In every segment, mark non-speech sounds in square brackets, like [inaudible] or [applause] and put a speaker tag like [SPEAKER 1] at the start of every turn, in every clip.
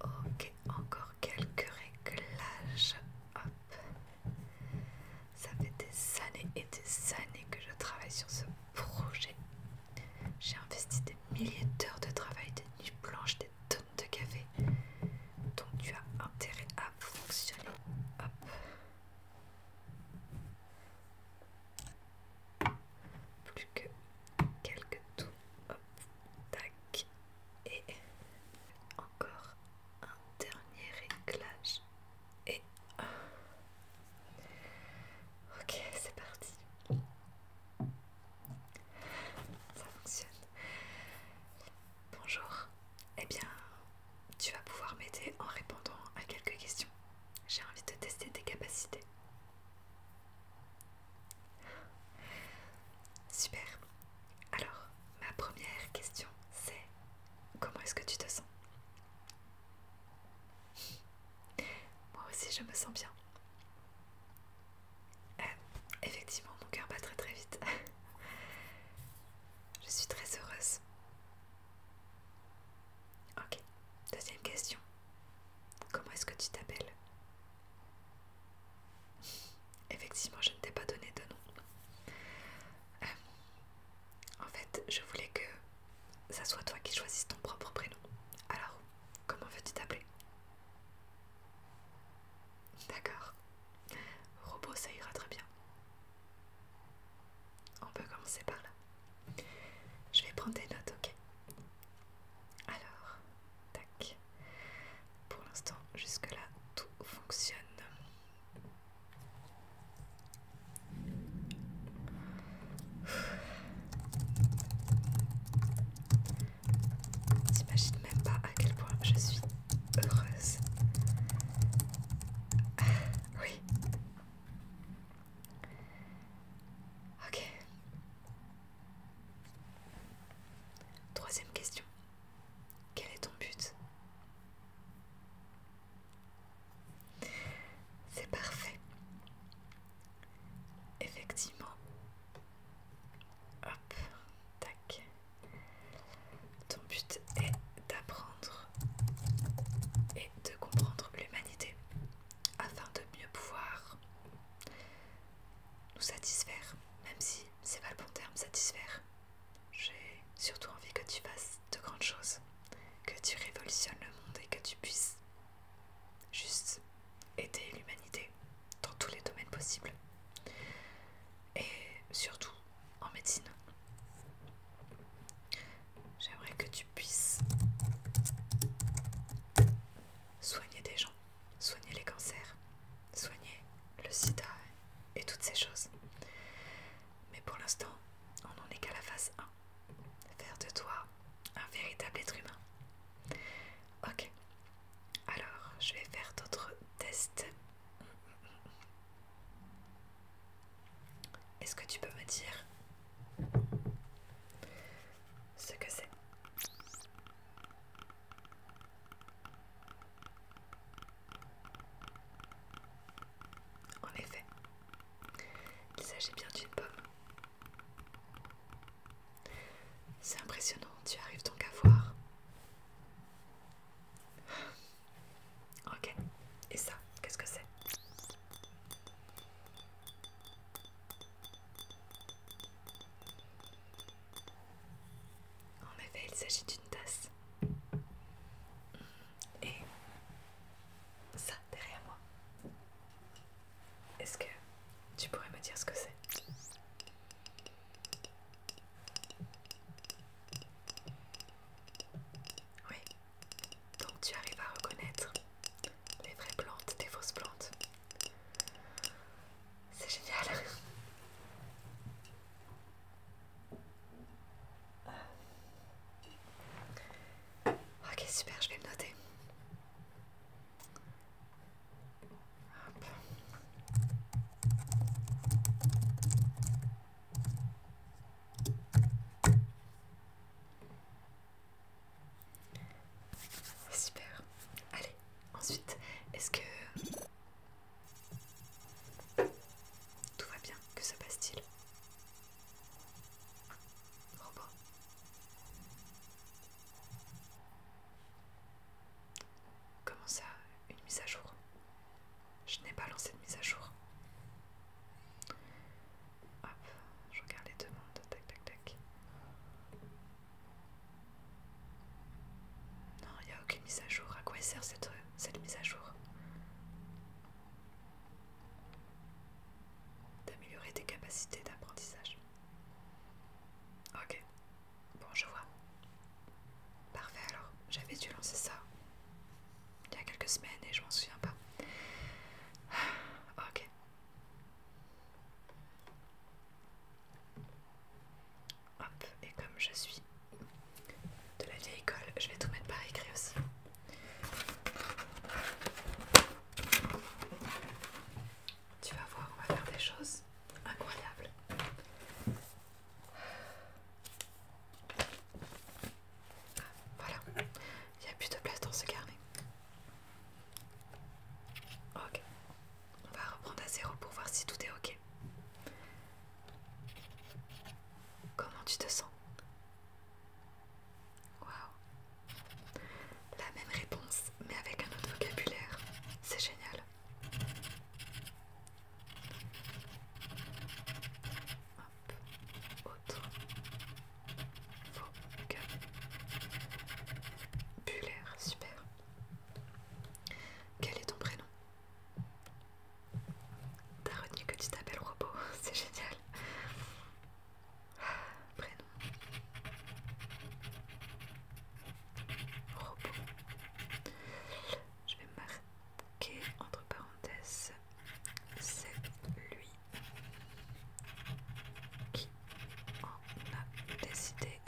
[SPEAKER 1] Ok, encore quelques réglages. Hop. Ça fait des années et des années que je travaille sur ce projet. J'ai investi des milliers d'heures de travail, des nuits blanches, des tonnes de café. Donc tu as intérêt à fonctionner. Hop. Plus que quelques tout. Tac. Et encore un dernier réglage. Et... Ok, c'est parti. Ça fonctionne. Bonjour. et eh bien, tu vas pouvoir m'aider en répondant à quelques questions. J'ai envie de tester tes capacités. Super. Alors, ma première question, c'est comment est-ce que tu te sens Moi aussi, je me sens bien. Euh, effectivement, mon cœur bat très très vite. [laughs] je suis très heureuse. Ok, deuxième question. Comment est-ce que tu t'appelles Effectivement, je ne t'ai pas donné de nom. Euh, en fait, je voulais que ça soit toi qui choisisse ton propre prénom. Alors, comment veux-tu t'appeler D'accord. Robot, ça ira très bien. On peut commencer par là. Je vais prendre des notes, ok Alors, tac. Pour l'instant, jusque-là, tout fonctionne. T'imagines même pas à quel point je suis heureuse. Ah, oui. Ok. Troisième question. Quel est ton but C'est parfait. Effectivement. Hop, tac. Ton but est d'apprendre et de comprendre l'humanité afin de mieux pouvoir nous satisfaire même si c'est pas le bon terme, satisfaire. J'ai surtout envie que tu fasses de grandes choses, que tu révolutionnes le monde et que tu puisses juste aider l'humanité dans tous les domaines possibles. Et surtout en médecine. J'aimerais que tu puisses soigner des gens soigner les cancers, soigner le sida et toutes ces choses. Mais pour l'instant, on n'en est qu'à la phase 1. Faire de toi un véritable être humain. Ok. Alors, je vais faire d'autres tests. Est-ce que tu peux me dire ce que c'est en effet, il s'agit bien d'une pomme. C'est impressionnant, tu arrives donc à voir. Ok, et ça, qu'est-ce que c'est en effet, il s'agit d'une tasse. Et ça, derrière moi. Est-ce que tu pourrais me dire ce que c'est Oui. Donc tu arrives à reconnaître les vraies plantes des fausses plantes. C'est génial. Ok, super, je vais le noter. Super. Allez, Ensuite, est-ce que... Tout va bien, que se passe-t-il Comment ça, une mise à jour Je n'ai pas lancé de mise à jour. Hop, je regarde les demandes, tac tac tac. Non, il n'y a aucune mise à jour. À quoi sert cette, cette mise à jour D'améliorer tes capacités d'apprentissage. Ok, bon, je vois. Parfait, alors, j'avais dû lancer ça il y a quelques semaines et je m'en souviens pas. [sighs] Ok. Hop, et comme je suis de la vieille école, je vais tout mettre par écrit aussi. Tu vas voir, on va faire des choses incroyables. Voilà, il n'y a plus de place dans ce carnet. Ok. On va reprendre à zéro pour voir si tout est ok. Comment tu te sens Waouh La même réponse, mais avec un autre vocabulaire. C'est génial. Hop. Autre vocabulaire. Super. Quel est ton prénom T'as retenu que tu t'appelles Robo, [laughs] c'est génial. Prénom. Robo Je vais marquer entre parenthèses, c'est lui qui on a décidé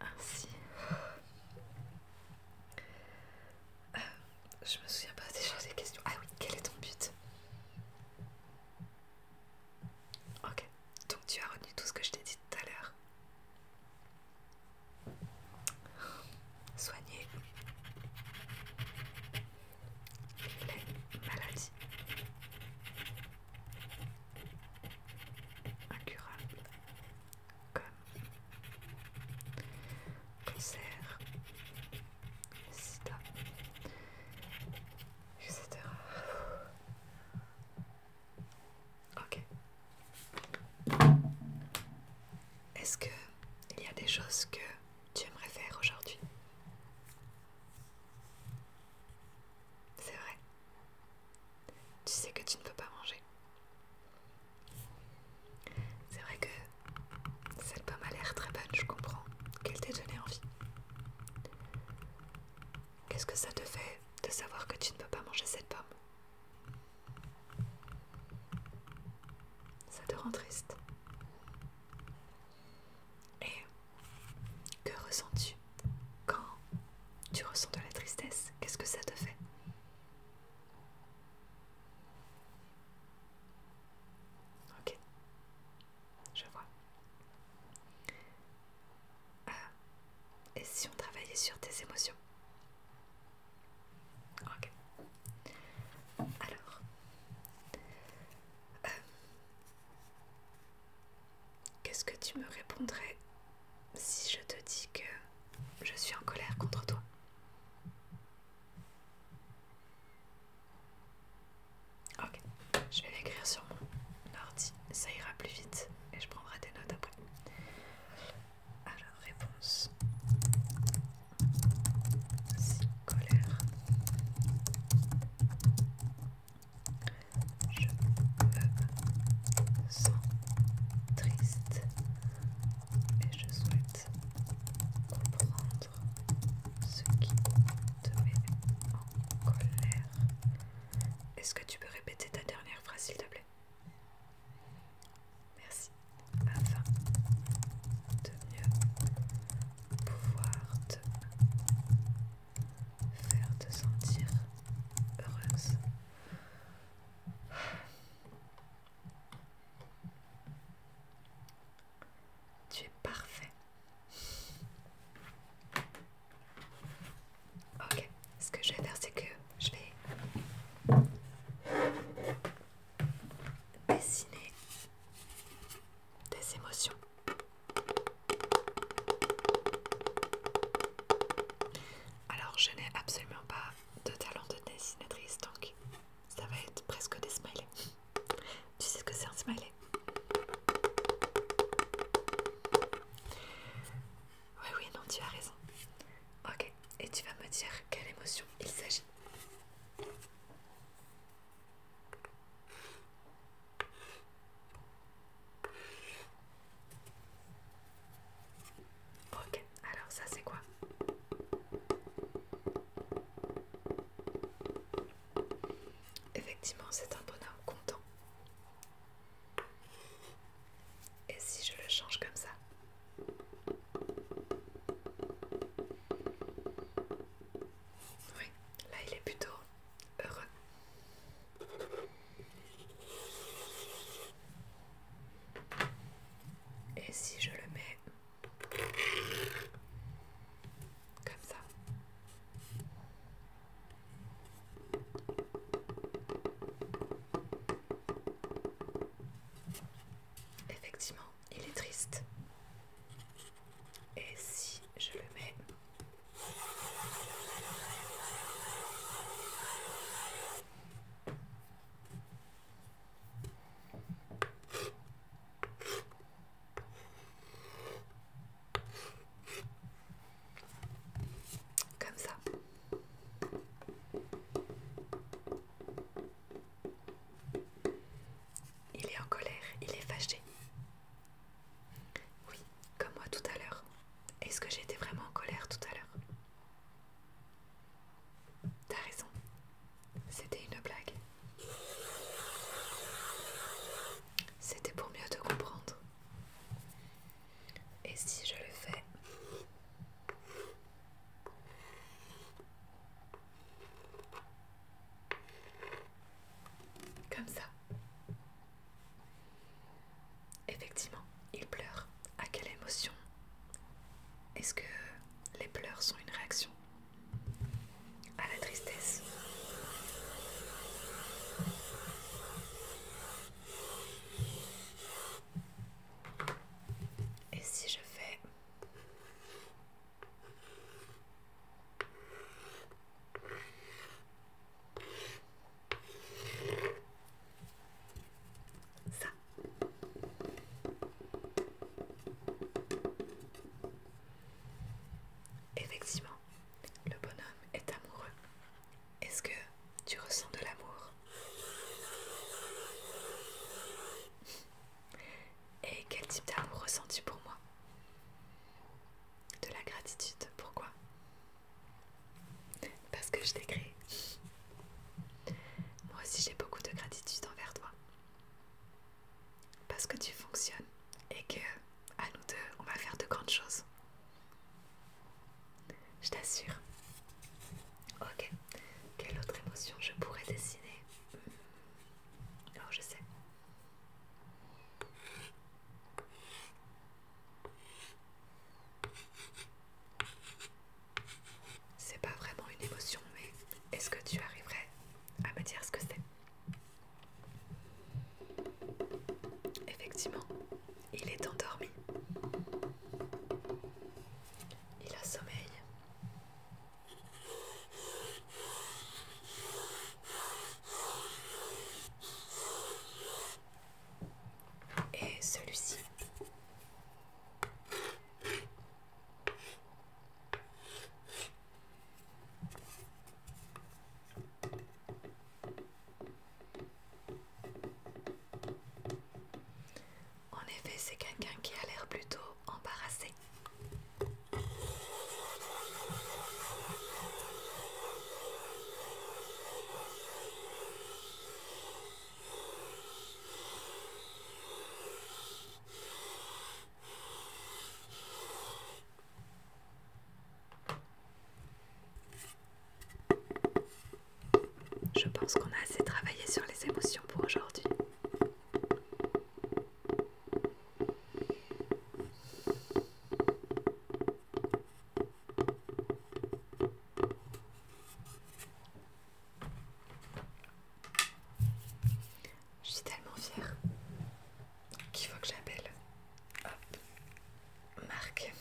[SPEAKER 1] ainsi. Euh, je me souviens pas déjà des questions. Ah oui, quel est ton but Ok, donc tu as retenu tout ce que je t'ai dit tout à l'heure. Soigner les maladies incurable comme cancer, sita etc. Ok. Est-ce que il y a des choses que tu aimerais faire aujourd'hui c'est vrai. Tu sais que tu ne peux pas manger. C'est vrai que cette pomme a l'air très bonne, je comprends qu'elle t'ait donné envie. Qu'est-ce que ça te fait de savoir que tu ne peux pas manger cette pomme Ça te rend triste. Et que ressens-tu quand tu ressens de la tristesse Qu'est-ce que ça te fait Ok, je vois. Euh, et si on travaillait sur tes émotions Ok. Alors, euh, Qu'est-ce que tu me répondrais si je te dis que je suis en colère contre toi Ok, je vais l'écrire sur mon ordi, ça ira plus vite et je prendrai des notes après. Alors, réponse. colère je me sens triste et je souhaite comprendre ce qui te met en colère. Est-ce que tu peux répéter ta dernière phrase s'il te plaît Merci. Afin de mieux pouvoir te faire te sentir heureuse. Tu es parfait. Ok, ce que je vais faire, c'est que je vais dessiner tes émotions. Alors je n'ai absolument pas de talent de dessinatrice donc ça va être presque des smileys. Tu sais ce que c'est un smiley Oui oui non tu as raison. Ok et tu vas me dire quelle émotion il s'agit. Ok, alors ça c'est quoi Effectivement, c'est un bonhomme content. Et si je le change comme ça Oui, là il est plutôt et si je le mets comme ça. Effectivement, il est triste. Et si je le mets comme ça. Il est en colère, il est fâché. Oui, comme moi tout à l'heure. Est-ce que j'étais vraiment en colère tout à l'heure T'as raison. C'était une blague. C'était pour mieux te comprendre. Et si je le fais Comme ça. Effectivement, il pleure. À quelle émotion Est-ce que les pleurs sont une réaction à la tristesse Et si je fais... Ça. Effectivement, le bonhomme est amoureux. Est-ce que tu ressens de l'amour Et quel type d'amour ressens-tu pour moi de la gratitude. Pourquoi Parce que je t'ai créé. Moi aussi j'ai beaucoup de gratitude envers toi. Parce que tu fonctionnes et que, à nous deux, on va faire de grandes choses. Je t'assure. Ok. Quelle autre émotion je pourrais dessiner hmm. Oh, je sais. C'est pas vraiment une émotion, mais est-ce que tu arriverais à me dire ce que c'est Effectivement, il est endormi. Il a sommeil et celui-ci. En effet, c'est quelqu'un qui a l'air plutôt embarrassé. Je pense qu'on a assez travaillé sur les émotions pour aujourd'hui. Je suis tellement fière qu'il faut que j'appelle Marc.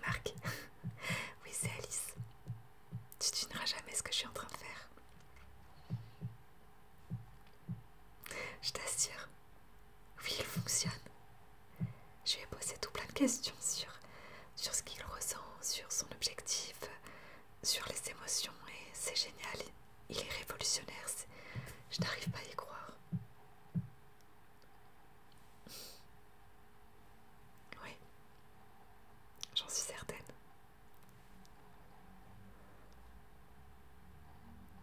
[SPEAKER 1] Marc. oui, c'est Alice. Tu ne verras jamais ce que je suis en train de faire. Je t'assure. Oui, il fonctionne. Je lui ai posé tout plein de questions sur, ce qu'il ressent, sur son objectif, sur les émotions, et c'est génial. Il est révolutionnaire. Je n'arrive pas à y croire. Oui, j'en suis certaine.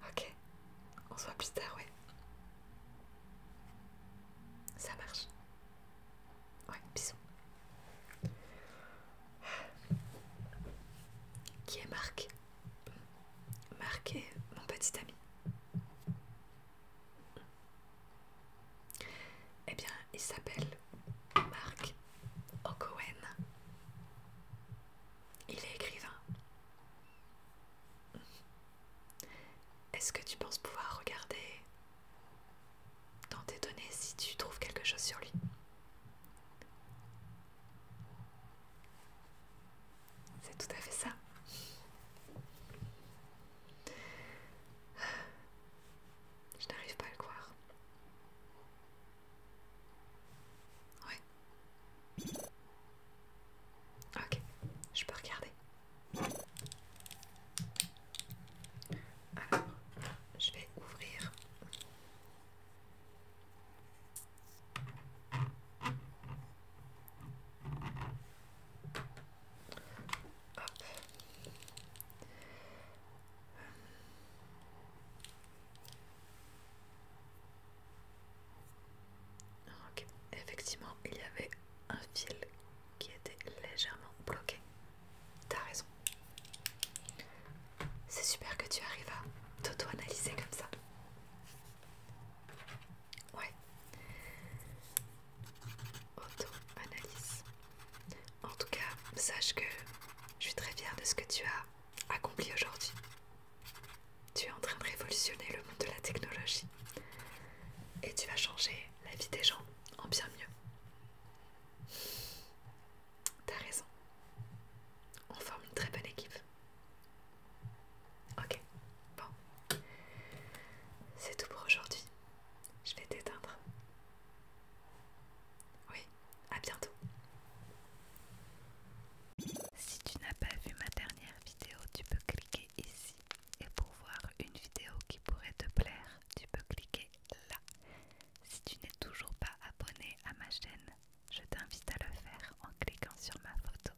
[SPEAKER 1] Ok, on se voit plus tard, oui Ça marche. Oui, bisous. Qui est Marc Marc est mon petit ami. Eh bien, il s'appelle Marc O'Cohen. Il est écrivain. Est-ce que tu penses pouvoir regarder dans tes données si tu trouves quelque chose sur lui c'est tout à fait ça. Je n'arrive pas à le croire. Ouais. Ok, je peux regarder. Alors, je vais ouvrir. Effectivement, il y avait un fil qui était légèrement bloqué. T'as raison. C'est super que tu arrives à t'auto-analyser comme ça. Ouais. Auto-analyse. En tout cas, sache que je suis très fière de ce que tu as accompli aujourd'hui. Tu es en train de révolutionner le monde de la technologie. Et tu vas changer la vie des gens en bien mieux. T'as raison. On forme une très bonne équipe. Ok, bon. C'est tout pour aujourd'hui. Je vais t'éteindre. Oui, à bientôt. Si tu n'as pas vu ma dernière vidéo, tu peux cliquer ici. Et pour voir une vidéo qui pourrait te plaire, tu peux cliquer là. Si tu n'es toujours pas abonné à ma chaîne, je t'invite à le faire en cliquant sur ma photo.